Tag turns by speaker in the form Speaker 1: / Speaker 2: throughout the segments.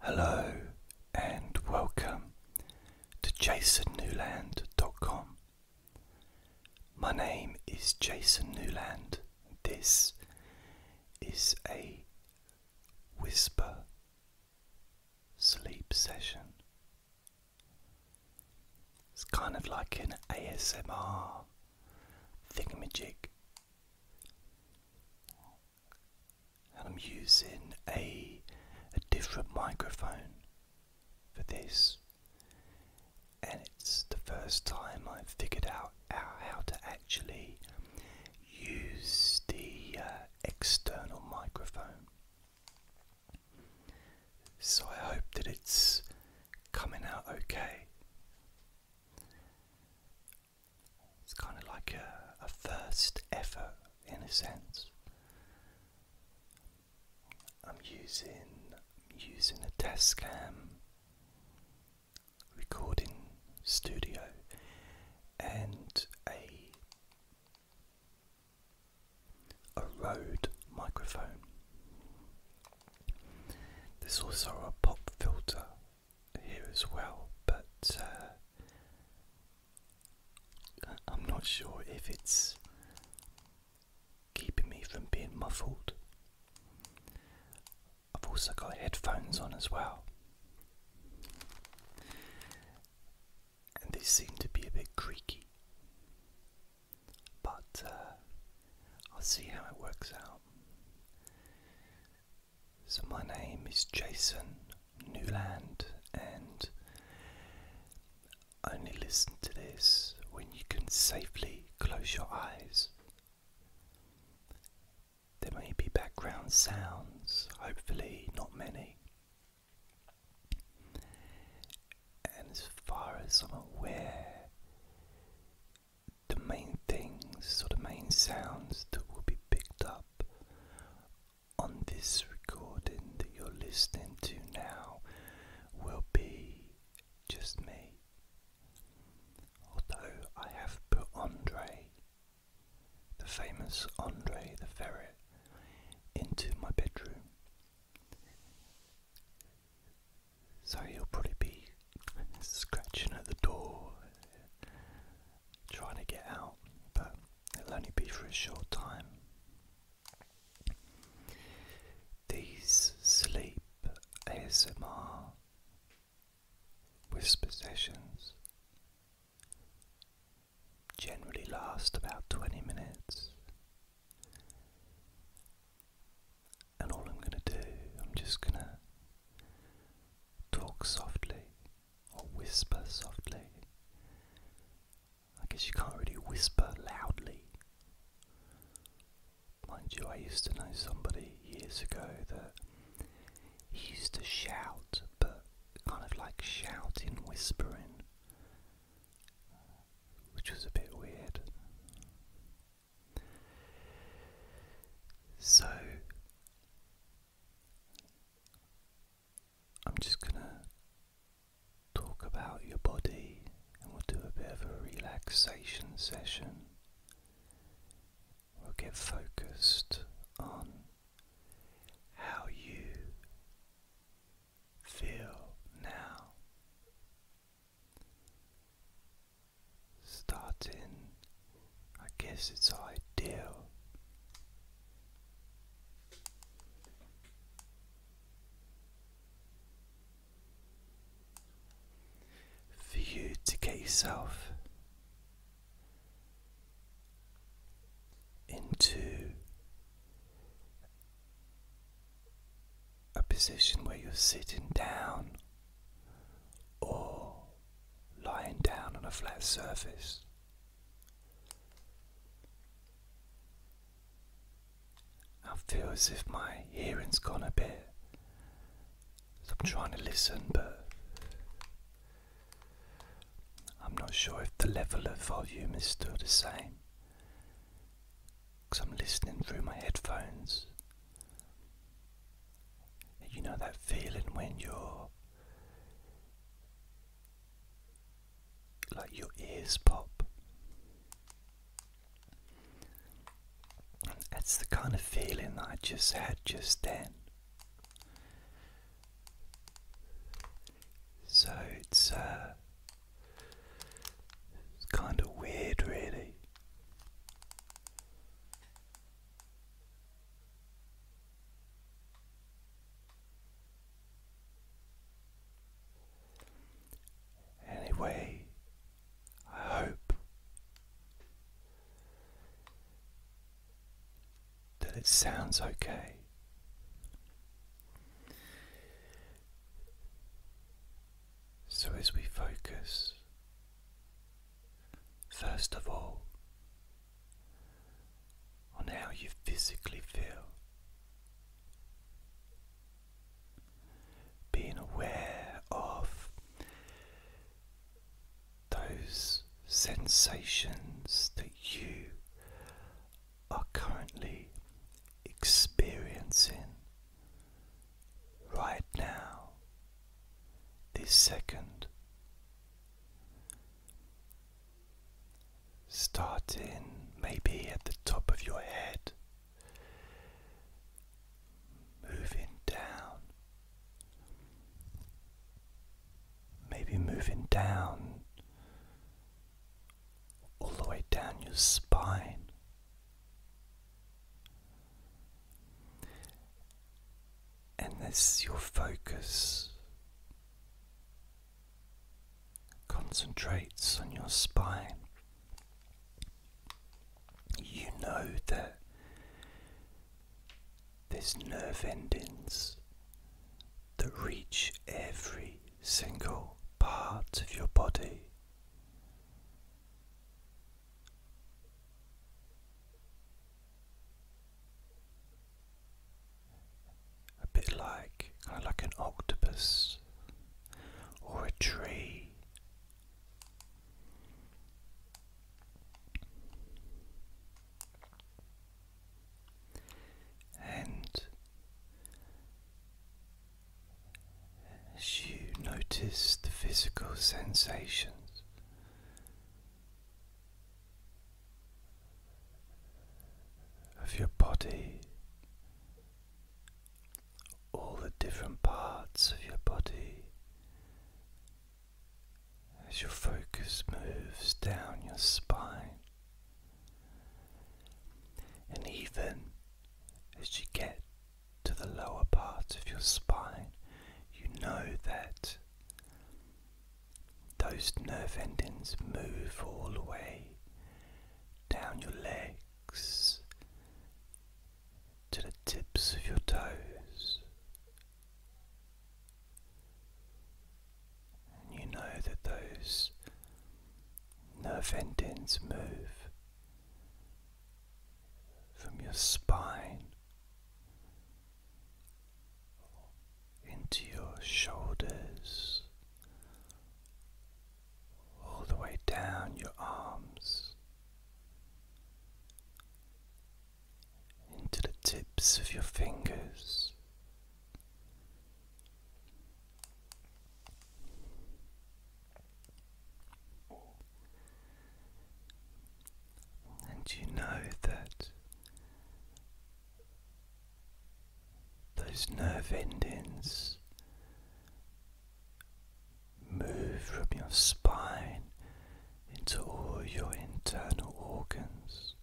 Speaker 1: Hello and welcome to jasonnewland.com. My name is Jason Newland. This is a whisper sleep session. It's kind of like an ASMR thingamajig and I'm using a, different microphone for this, and it's the first time I've figured out how, to actually use the uh, external microphone. So I hope that it's coming out okay. It's kind of like a, first effort in a sense. I'm using using a desk cam recording studio and a a Rode microphone. There's also a pop filter here as well, but uh, I'm not sure if it's keeping me from being muffled. I've also got headphones on as well, and they seem to be a bit creaky. But uh, I'll see how it works out. So, my name is Jason Newland, and only listen to this when you can safely close your eyes. There may be background sounds, hopefully, not many. And as far as I'm aware, the main things or the main sounds that will be picked up on this recording that you're listening to now will be just me. Although I have put Andre, the famous Andre the ferret, into my bedroom. So he'll probably be scratching at the door trying to get out, but it'll only be for a short time. These sleep ASMR whisper sessions generally last about 20 minutes. And all I'm going to do, I'm just going to talk softly or whisper softly. I guess you can't really whisper loudly. Mind you, I used to know somebody years ago that he used to shout, but kind of like shouting, whispering, which was a bit weird. So, I'm just going to talk about your body and we'll do a bit of a relaxation session. We'll get focused on how you feel now. Starting I guess it's ideal. For you to get yourself into a position where you're sitting down or lying down on a flat surface I feel as if my hearing's gone a bit. I'm trying to listen, but I'm not sure if the level of volume is still the same. Because I'm listening through my headphones. You know that feeling when you're like your ears pop. That's the kind of feeling I just had just then. So it's uh, it's kind of weird, really. Anyway, I hope that it sounds okay. So, as we focus, first of all, on how you physically feel. Being aware of those sensations that you are currently experiencing right now, this second, Starting maybe at the top of your head, moving down, maybe moving down all the way down your spine. And this is your focus concentrates on your spine. You know that there's nerve endings that reach every single part of your body a bit like kind of like an octopus or a tree. And as you notice the physical sensations of your body, all the different parts of your body, as your focus moves down your spine, and even as you get to the lower part of your spine, you know that those nerve endings move all the way down your legs to the tips of your toes. And you know that those nerve endings move from your spine into your shoulders, all the way down your arms, into the tips of your fingers. And you know that those nerve endings move from your spine into all your internal organs.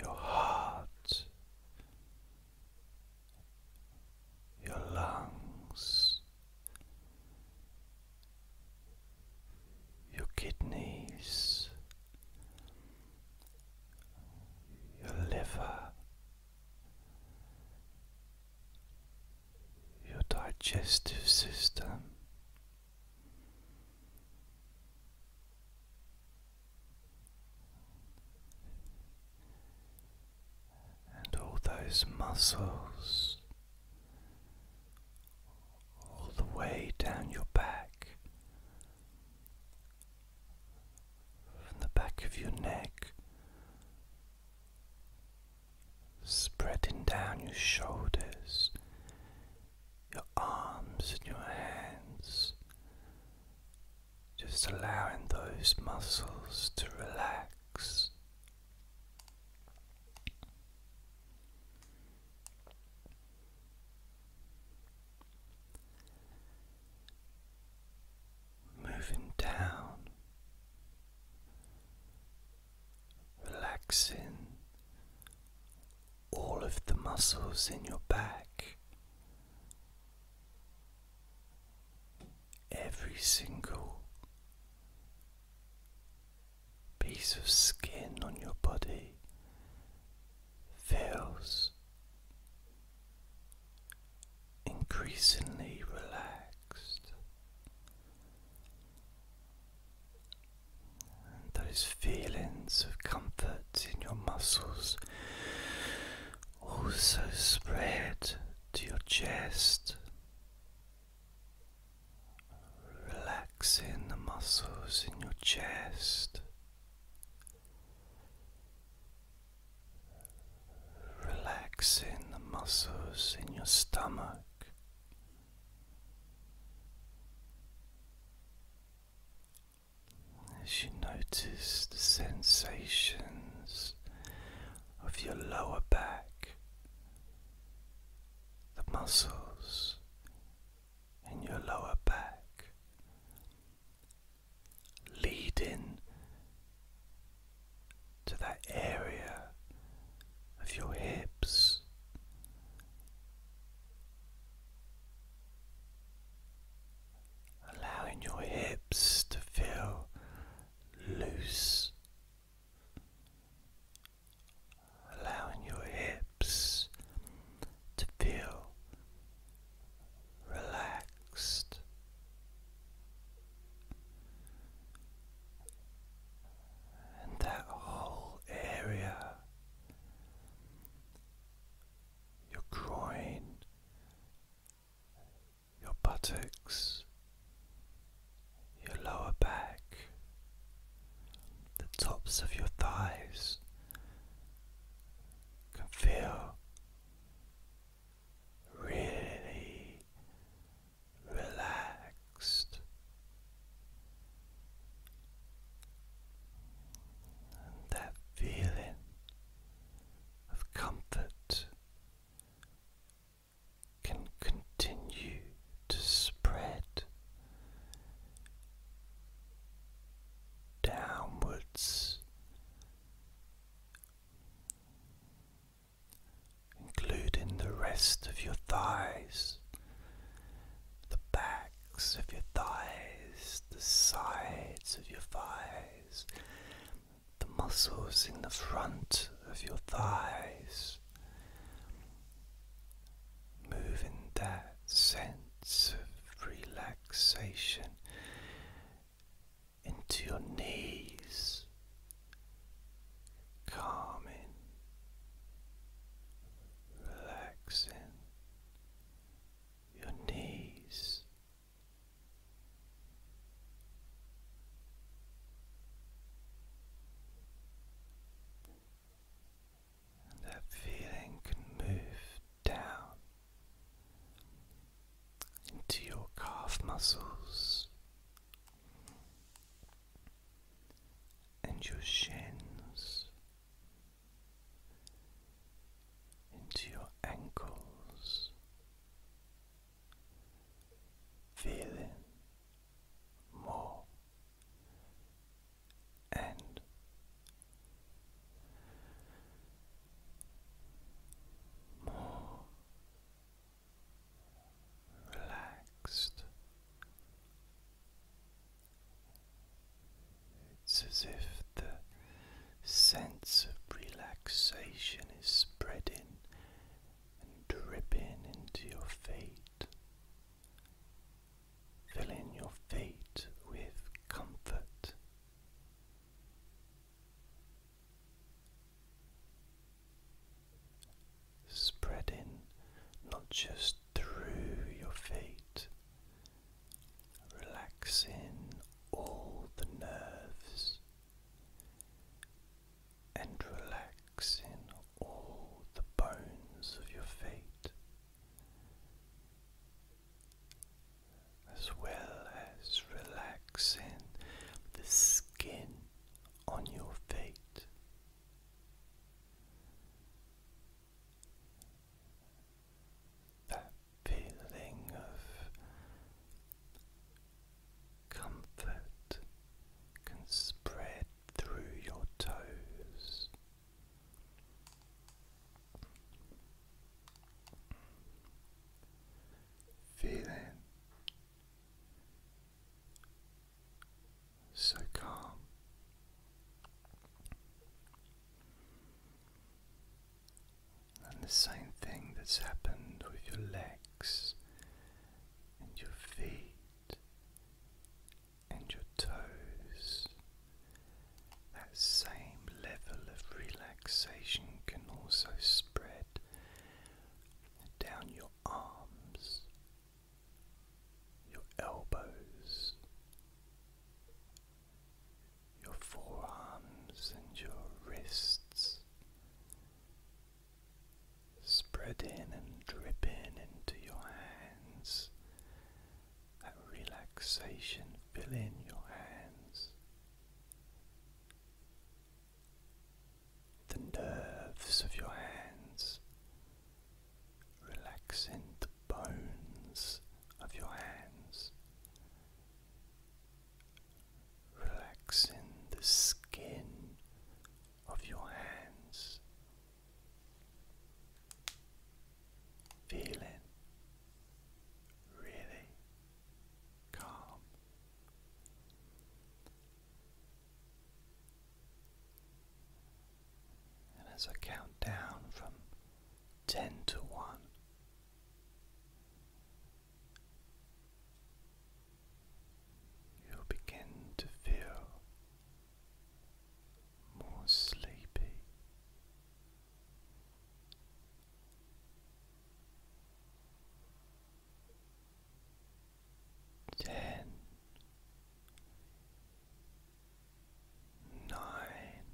Speaker 1: Your heart, your lungs, your kidneys, your liver, your digestive system. And all those muscles all the way down your back, from the back of your neck, spreading down your shoulders, your arms, and your hands. Just allowing those muscles to relax Moving down, relaxing all of the muscles in your back, every single piece of skin on your body feels increasingly relaxed, and those feelings of comfort in your muscles also spread to your chest relaxing the muscles in your chest. Relaxing the muscles in your stomach, as you notice the sensations of your lower back, the muscles in your lower back, leading to that area of your hips. Allowing your hips to feel loose allowing your hips to feel relaxed. And that whole area, your groin, your buttocks, your lower back, the tops of your thighs can feel really relaxed. And that feeling of comfort can continue to spread downwards, including the rest of your thighs, the backs of your thighs, the sides of your thighs, the muscles in the front of your thighs moving that sense of relaxation into your knees, calming, relaxing your knees. And that feeling can move down into your calf muscles and your shins, into your ankles, feeling more and more relaxed. It's as if the sense of relaxation is spreading and dripping into your feet. Fill in your feet with comfort. Spreading not just through your feet, relaxing all the nerves and relax in all the bones of your feet, as well as relaxing the skin on your feet. That feeling of comfort can spread through your toes. Feeling so calm. And the same thing that's happened with your legs and your feet and your toes. That same level of relaxation can also spread down your arms, your elbows, your forearms, and your wrists spreading and dripping into your hands, that relaxation filling your hands, the nerves of your hands, relaxing the bones of your hands. Relaxing the skin of your hands, feeling really calm. And as I count down from ten to one, you begin to feel more sleepy. Ten, nine,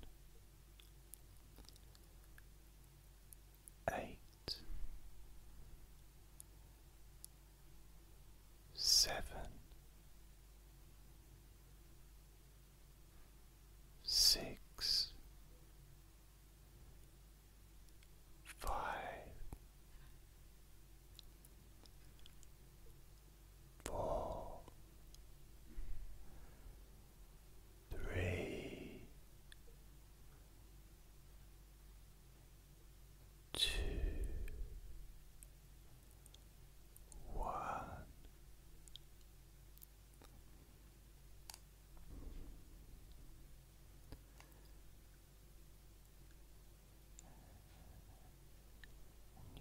Speaker 1: eight, seven, six, five, four, three, two one.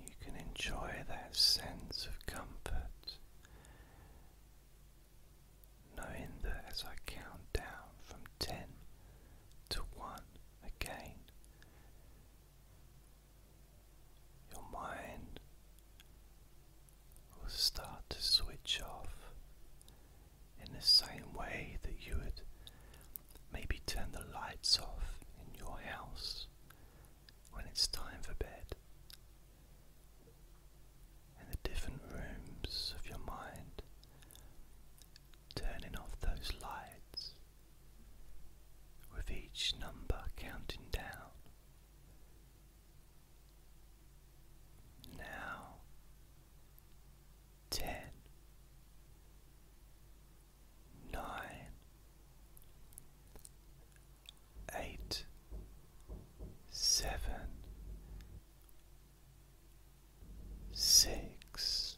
Speaker 1: You can enjoy that sense of comfort, knowing that as I count down from ten to one again, your mind will start to switch off in the same way that you would maybe turn the lights off in your house when it's time for bed. In the different rooms of your mind turning off those lights with each number counting down. Now, ten, nine, eight, seven, six,